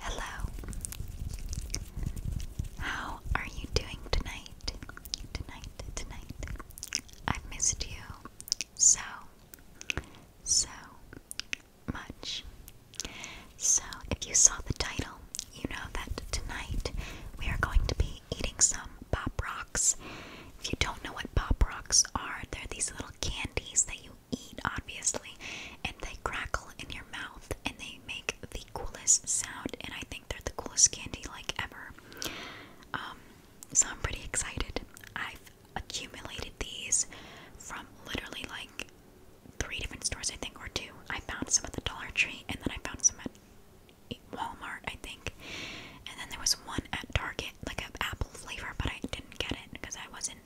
Hello. How are you doing tonight? Tonight, tonight. I've missed you so, so much. So, if you saw the title, you know that tonight we are going to be eating some Pop Rocks. If you don't know what Pop Rocks are, they're these little candies that you eat, obviously, and they crackle in your mouth and they make the coolest sound. And I think they're the coolest candy like ever. Um, so I'm pretty excited. I've accumulated these from literally like three different stores, I think, or two. I found some at the Dollar Tree, and then I found some at Walmart, I think. And then there was one at Target, like an apple flavor, but I didn't get it because I wasn't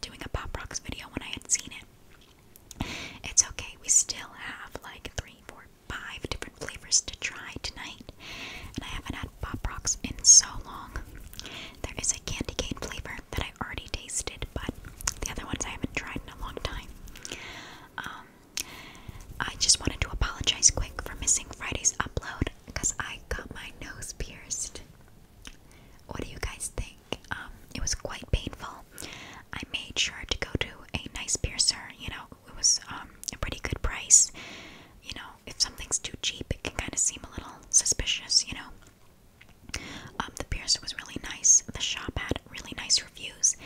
doing a Pop Rocks video when I had seen it. It's okay, we still have like three, four, five different flavors to try tonight. And I haven't had Pop Rocks in so long. There is a candy cane flavor that I already tasted, but the other ones I haven't tried in a long time. Um, I just wanted to apologize quick for missing Friday's upload because I got my nose pierced. What do you guys think? Um, it was quite painful. I made sure to go to a nice piercer. You know, it was um, a pretty good price. You know, if something's too cheap, it can kind of seem a little suspicious. You know, um, the piercer was really nice. The shop had really nice reviews.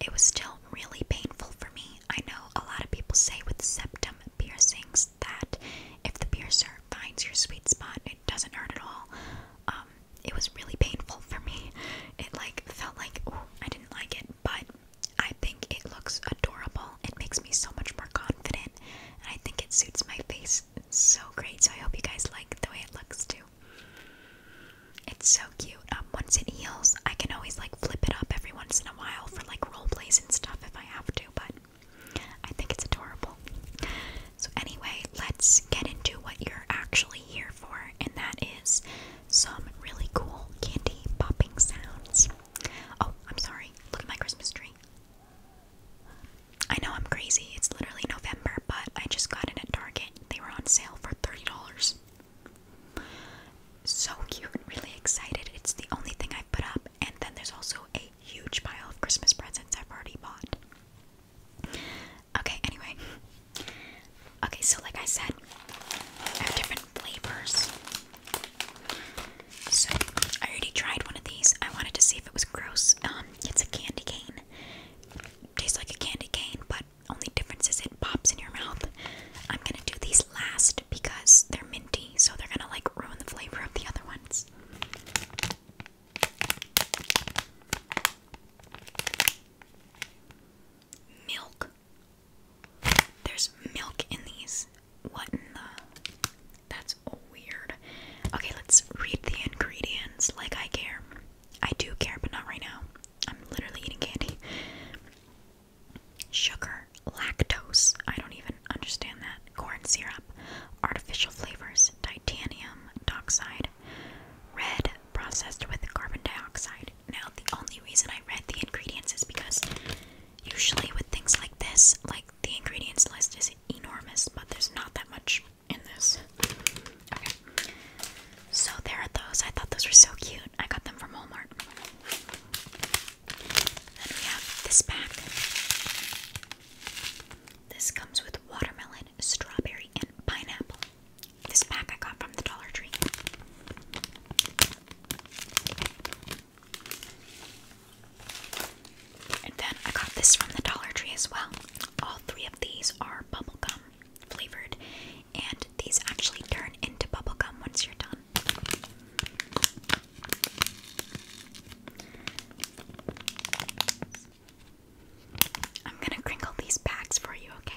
It was still really painful for me. I know a lot of people say with septum piercings that if the piercer finds your sweet spot, it doesn't hurt at all. Um, it was really painful for me. It like felt like I didn't like it, but I think it looks adorable. It makes me so much more confident, and I think it suits my face so great. So I hope you guys like the way it looks too. It's so cute. Um, once it heals, I can always like flip it up every once in a while for like role plays and stuff if I have to. But I think it's adorable. So, anyway, let's get into what you're actually here for, and that is some really cool candy popping sounds. Oh, I'm sorry. Look at my Christmas tree. I know I'm crazy. It's literally November, but I just got in at Target. They were on sale for $30. So cute, really excited. It's the only thing I've put up and then there's also a huge pile of Christmas presents I've already bought. Okay, anyway. Okay, so like I said, I have different flavors. So I already tried one of these. I wanted to see if it was gross. Um, it's a candy cane. tastes like a candy cane, but only difference is it pops in your mouth. I'm gonna do these last because they're minty, so they're gonna like ruin the flavor of the other ones. Milk. There's milk in these. What in the? That's weird. Okay, let's read the ingredients like I care. I do care, but not right now. I'm literally eating candy. Sugar lactose, I don't even understand that, corn syrup, artificial flavors, titanium dioxide, red processed with carbon dioxide. Now, the only reason I read the ingredients is because usually with things like this, like the ingredients list is enormous, but there's not that much in this. Okay. So there are those. I thought those were so cute. I got them from Walmart. Then we have this pack. This comes with watermelon, strawberry, and pineapple. This pack I got from the Dollar Tree. And then I got this from the Dollar Tree as well. All three of these are bubblegum flavored, and these actually turn into bubblegum once you're done. I'm gonna crinkle these bags for you, okay?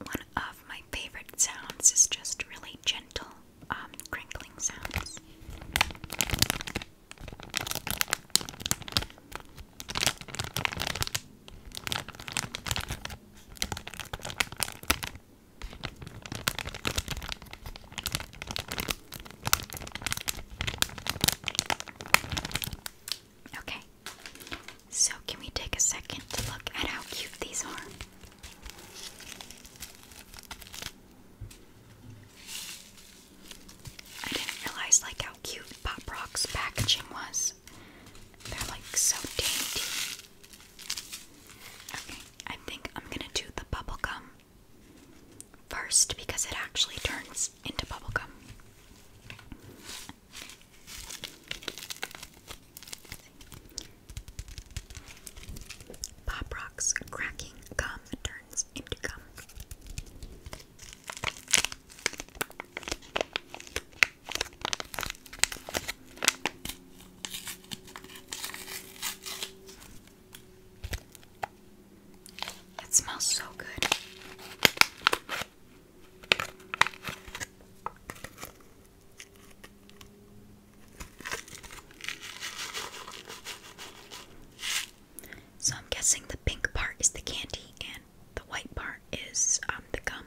One of my favorite sounds is just really gentle um, crinkling sounds. Okay. So, can we take a second to look at how cute these are? I didn't realize like how cute Pop Rock's packaging was. They're like so dainty. Okay, I think I'm gonna do the bubblegum first because it actually turns into bubblegum. Pop rocks cracking gum turns into gum. It smells so good. So I'm guessing the pink part is the candy and the white part is um, the gum.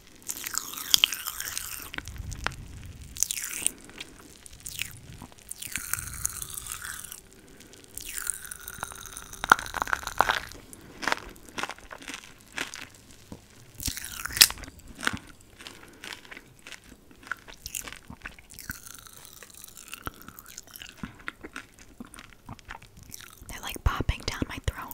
They're like popping down my throat.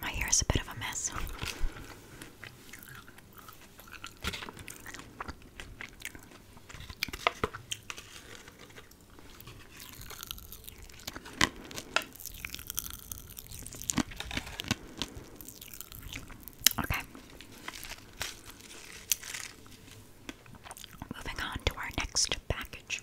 My hair is a bit of a mess. Okay. Moving on to our next package.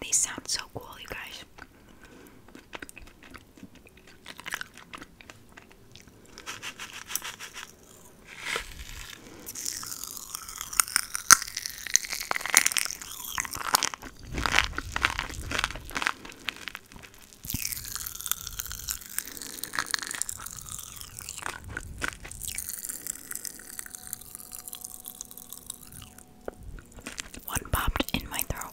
These sound so cool, you guys. One popped in my throat.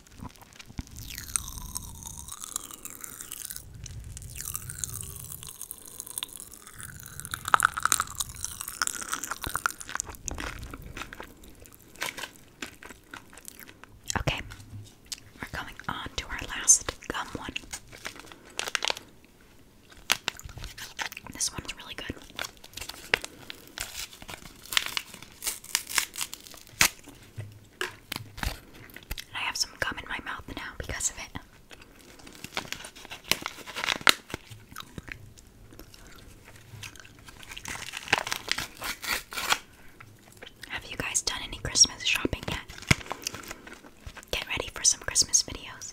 Okay, we're going on to our last gum one. This one's really good. I have some gum in my mouth now because of it. Have you guys done any Christmas shopping yet? Get ready for some Christmas videos.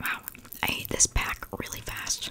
Wow, I ate this pack really fast.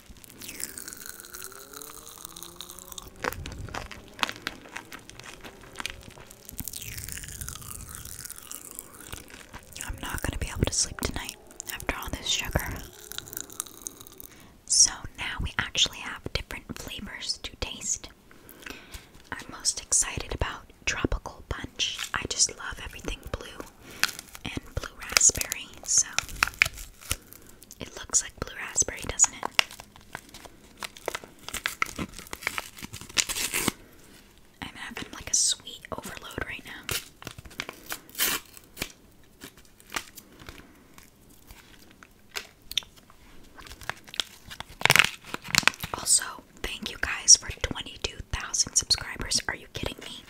I'm not going to be able to sleep tonight after all this sugar. So now we actually have different flavors to taste. I'm most excited about Tropical Punch. I just love everything blue and blue raspberry, so it looks like blue raspberry, doesn't it? I'm having like a sweet overload right now. Also, thank you guys for 22,000 subscribers. Are you kidding me?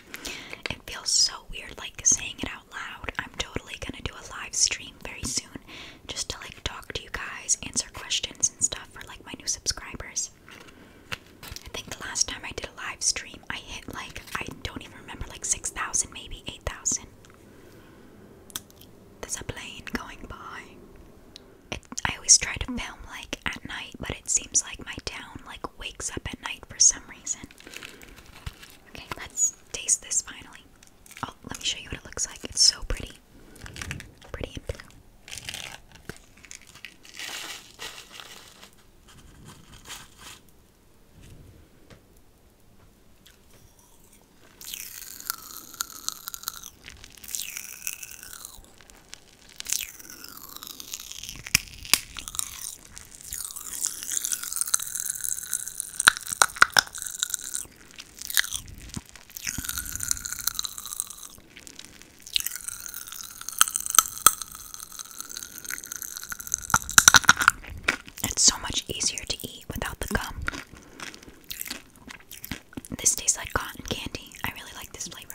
It feels so weird like saying it out loud. I'm totally gonna do a live stream very soon just to like talk to you guys, answer questions and stuff for like my new subscribers. I think the last time I did a live stream, I hit like, I don't even remember, like 6,000, maybe 8,000. There's a plane going by. I always try to film like at night, but it seems like my town like wakes up at night for some reason. Okay, let's taste this finally. Oh, let me show you what it looks like. It's so pretty. Pretty and blue. It's so much easier to eat without the gum. This tastes like cotton candy. I really like this flavor.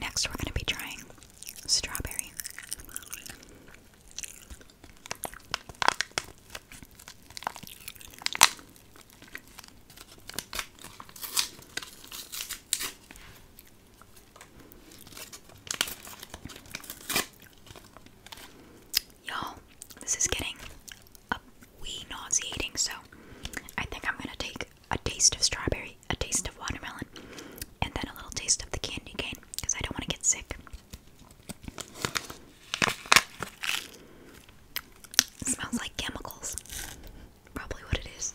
Next, we're going to be trying strawberry. Y'all, this is getting a wee nauseating, so I think I'm gonna take a taste of strawberry, a taste of watermelon, and then a little taste of the candy cane because I don't want to get sick. smells like chemicals. Probably what it is.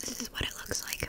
This is what it looks like.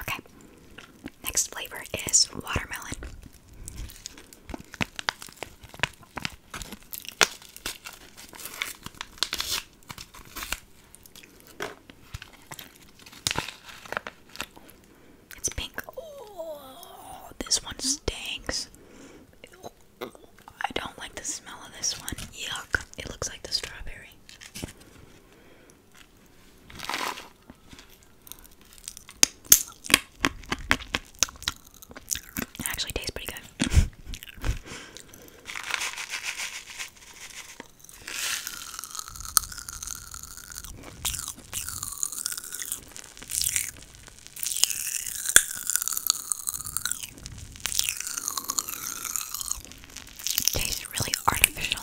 Okay. Next flavor is watermelon. It's pink. Oh, this one stinks. I don't like the smell of this one. Yuck. It looks like the strawberry actually tastes pretty good. Tastes really artificial.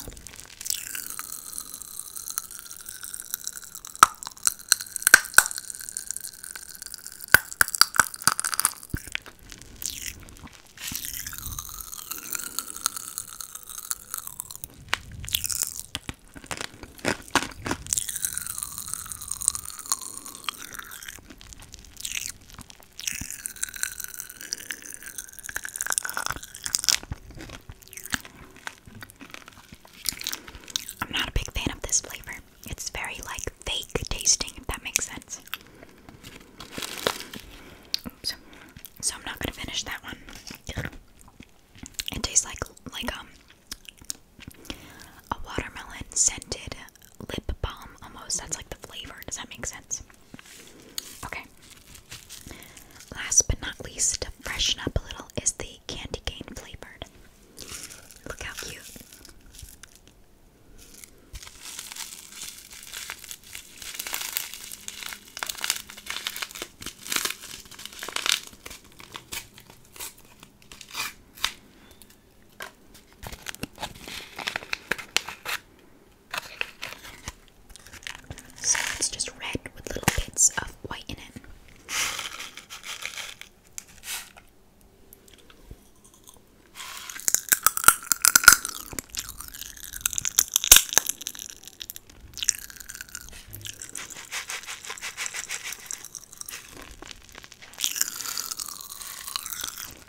I'm not a big fan of this flavor. It's very like fake tasting, if that makes sense. So I'm not gonna finish that one. It tastes like like um a watermelon scented lip balm almost. That's like the flavor. Does that make sense? Okay. Last but not least, to freshen up a little, is the candy cane flavored. Look how cute. So it's just red with little bits of white in it.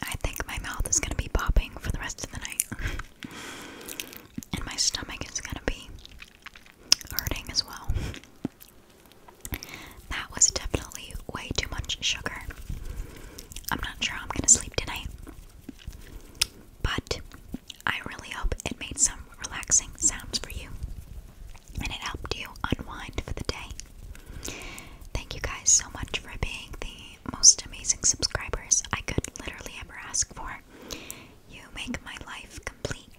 I think my mouth is going to be popping for the rest of the night. And my stomach is gonna be hurting as well. That was definitely way too much sugar. I'm not sure I'm gonna sleep tonight. But I really hope it made some relaxing sounds for you and it helped you unwind for the day. Thank you guys so much for being there most amazing subscribers I could literally ever ask for. You make my life complete.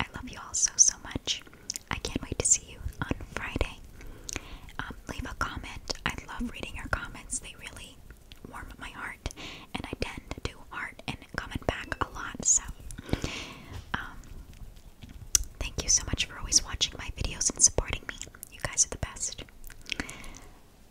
I love you all so, so much. I can't wait to see you on Friday. Um, leave a comment. I love reading your comments, they really warm my heart, and I tend to heart and comment back a lot. So, um, thank you so much for always watching my videos and supporting me. You guys are the best.